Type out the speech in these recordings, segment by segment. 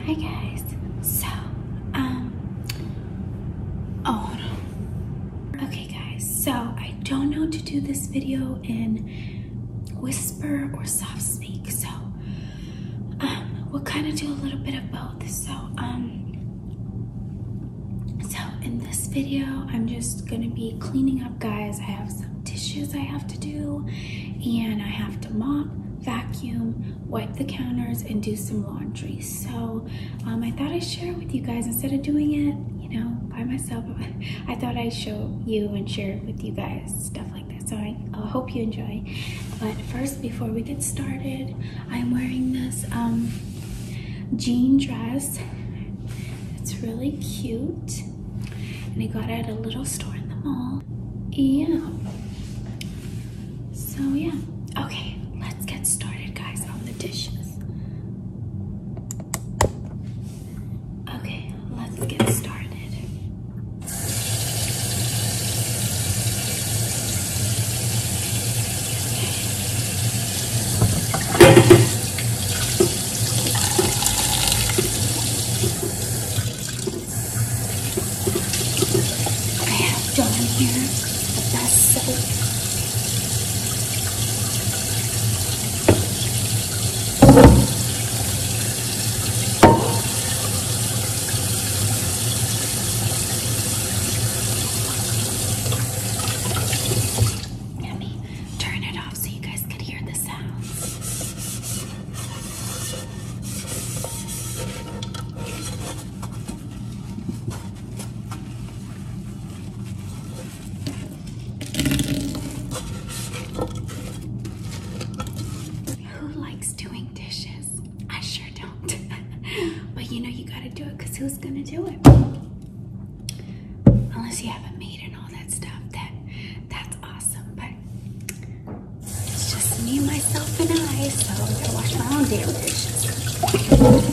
Hi guys. So, um, oh, Okay guys, so I don't know to do this video in whisper or soft speak. So, um, we'll kind of do a little bit of both. So, um, so in this video, I'm just going to be cleaning up guys. I have some dishes I have to do and I have to mop, vacuum, wipe the counters and do some laundry so um, i thought i'd share with you guys instead of doing it you know by myself i thought i'd show you and share with you guys stuff like that so i, hope you enjoy but first before we get started i'm wearing this um, jean dress it's really cute and i got it at a little store in the mall yeah. So yeah. Okay, let's get started guys on the dishes. Okay, let's get started. I have Dawn here, the best soap. Let me turn it off so you guys could hear the sounds. Who likes doing dishes? I sure don't. but you know, you gotta do it because who's gonna do it? Unless you have a maid and all that stuff. That that's awesome it's just me, myself, and I, so I'm gonna wash my own damn dish.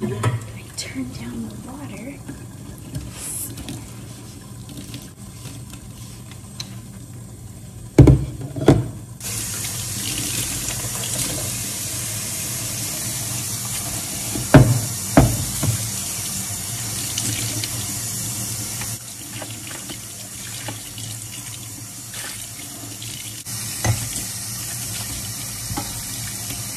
I turn down the water.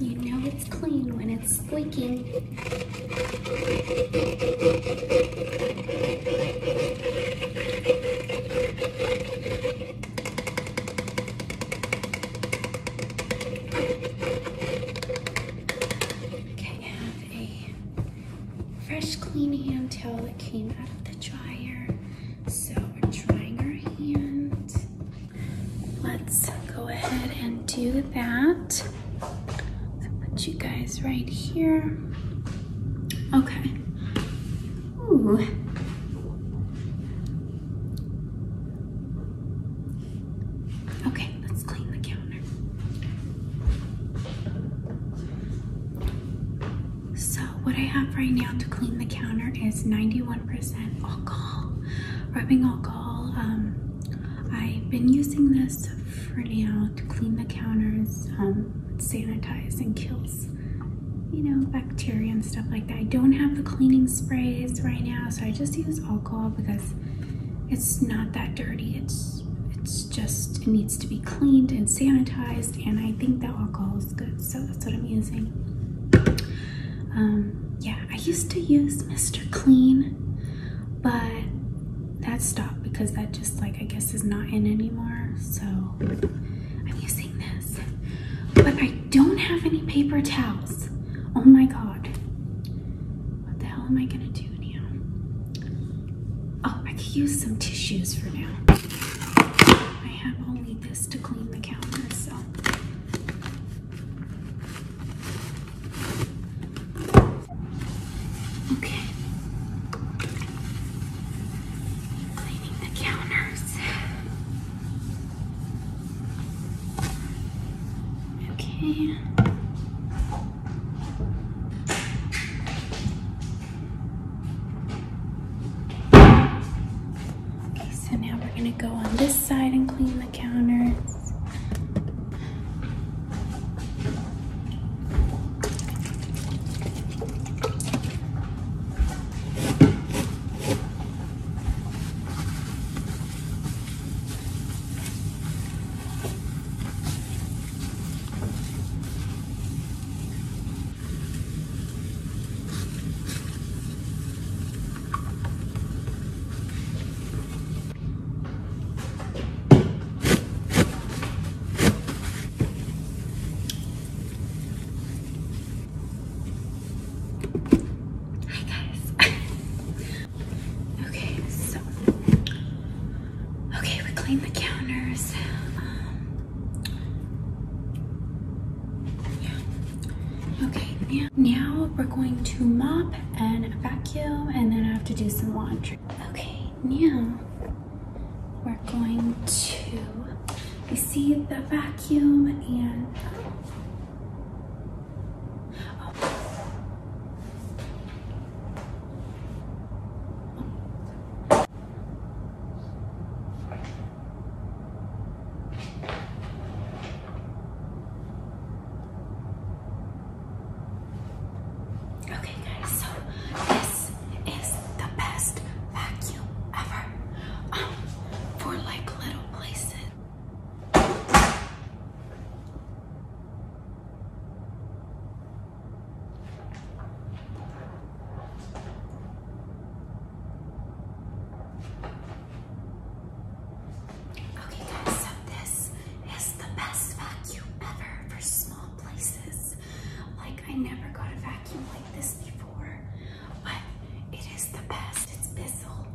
You know it's clean when it's squeaking. Okay, I fresh clean hand towel that came out of the dryer. So we're drying our hand. Let's go ahead and do that. So put you guys right here. Okay. Ooh. Okay, let's clean the counter. So, what I have right now to clean the counter is 91% alcohol, rubbing alcohol. Um, I've been using this for now to clean the counters, um, sanitize, and kills you know, bacteria and stuff like that. I don't have the cleaning sprays right now, so I just use alcohol because it's not that dirty. It's it's just it needs to be cleaned and sanitized and I think that alcohol is good so that's what I'm using um, yeah I used to use Mr. Clean but that stopped because that just like I guess is not in anymore so I'm using this but I don't have any paper towels oh my god what the hell am I gonna do Oh, I could use some tissues for now. I have only this to clean the counter, Okay. Cleaning the counters. Okay. Okay, so now we're gonna go on this side and clean the counters. Hi guys. okay, so Okay, we cleaned the counters. Um, yeah. Okay, now, now we're going to mop and vacuum, and then I have to do some laundry. Okay, now we're going to, you see the vacuum and oh. Okay guys, so this is the best vacuum ever um, for like little places. Okay guys, so this is the best vacuum ever for small places. Like I never got a vacuum like this before, but it is the best. It's Bissell,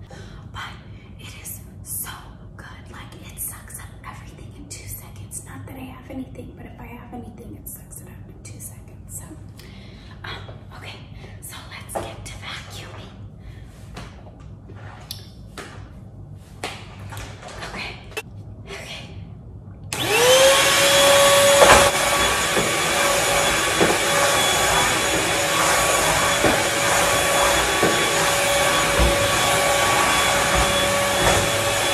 but it is so good. Like it sucks up everything in two seconds. Not that I have anything, but if I have anything, it sucks it up in two seconds. So, um, okay, so let's get to vacuuming. Okay, okay.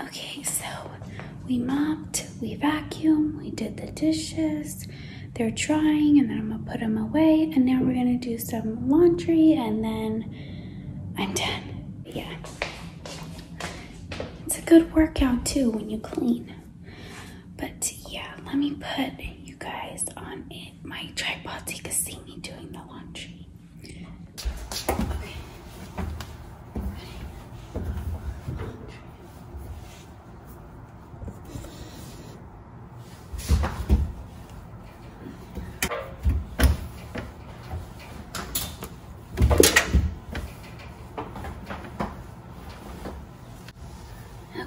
Okay, so we mopped, we vacuumed, we did the dishes. They're drying and then I'm gonna put them away and now we're gonna do some laundry and then I'm done. Yeah. It's a good workout too when you clean. But yeah, let me put you guys on it, my tripod so you can see me doing the laundry.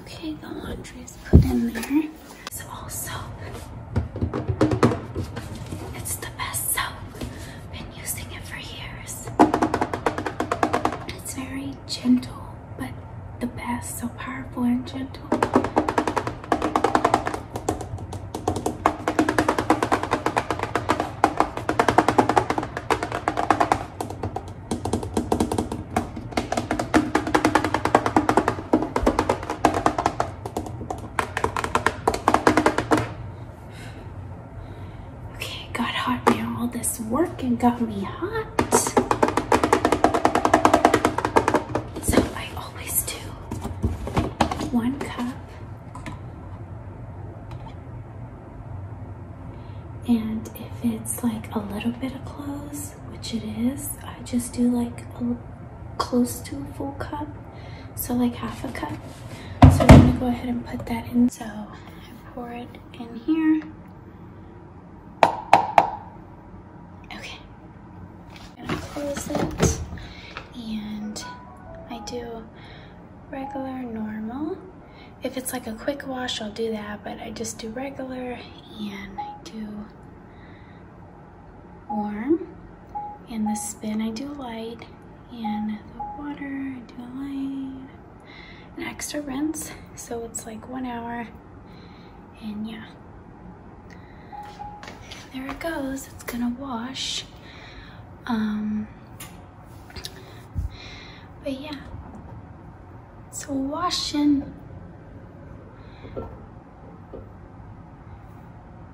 Okay, the laundry is put in there. It's also, it's the best soap. Been using it for years. It's very gentle, but the best, so powerful and gentle. Okay, got hot now. All this work and got me hot. So I always do one cup and if it's like a little bit of clothes, which it is, I just do like a, close to a full cup, so like half a cup. So I'm gonna go ahead and put that in. So I pour it in here. Okay, gonna close it. And I do regular, normal. If it's like a quick wash, I'll do that, but I just do regular and I do warm. and the spin, I do light. and the water, I do light. An extra rinse, so it's like one hour. And yeah, there it goes. It's gonna wash. Um, but yeah, so washing.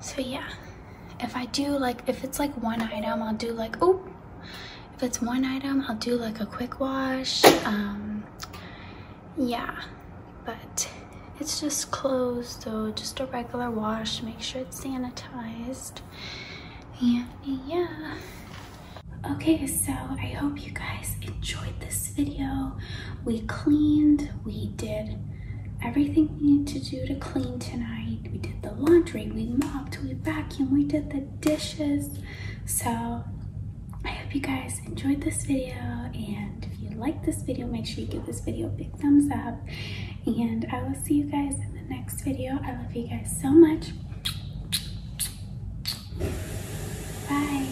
So yeah, if I do like, if it's like one item, I'll do like, oh, if it's one item, I'll do like a quick wash. Um, yeah, but it's just clothes, so just a regular wash, make sure it's sanitized. yeah. Okay, so I hope you guys enjoyed this video. We cleaned, we did everything we need to do to clean tonight. We did the laundry, we mopped, we vacuumed, we did the dishes. So I hope you guys enjoyed this video and if you like this video, make sure you give this video a big thumbs up and I will see you guys in the next video. I love you guys so much. Bye.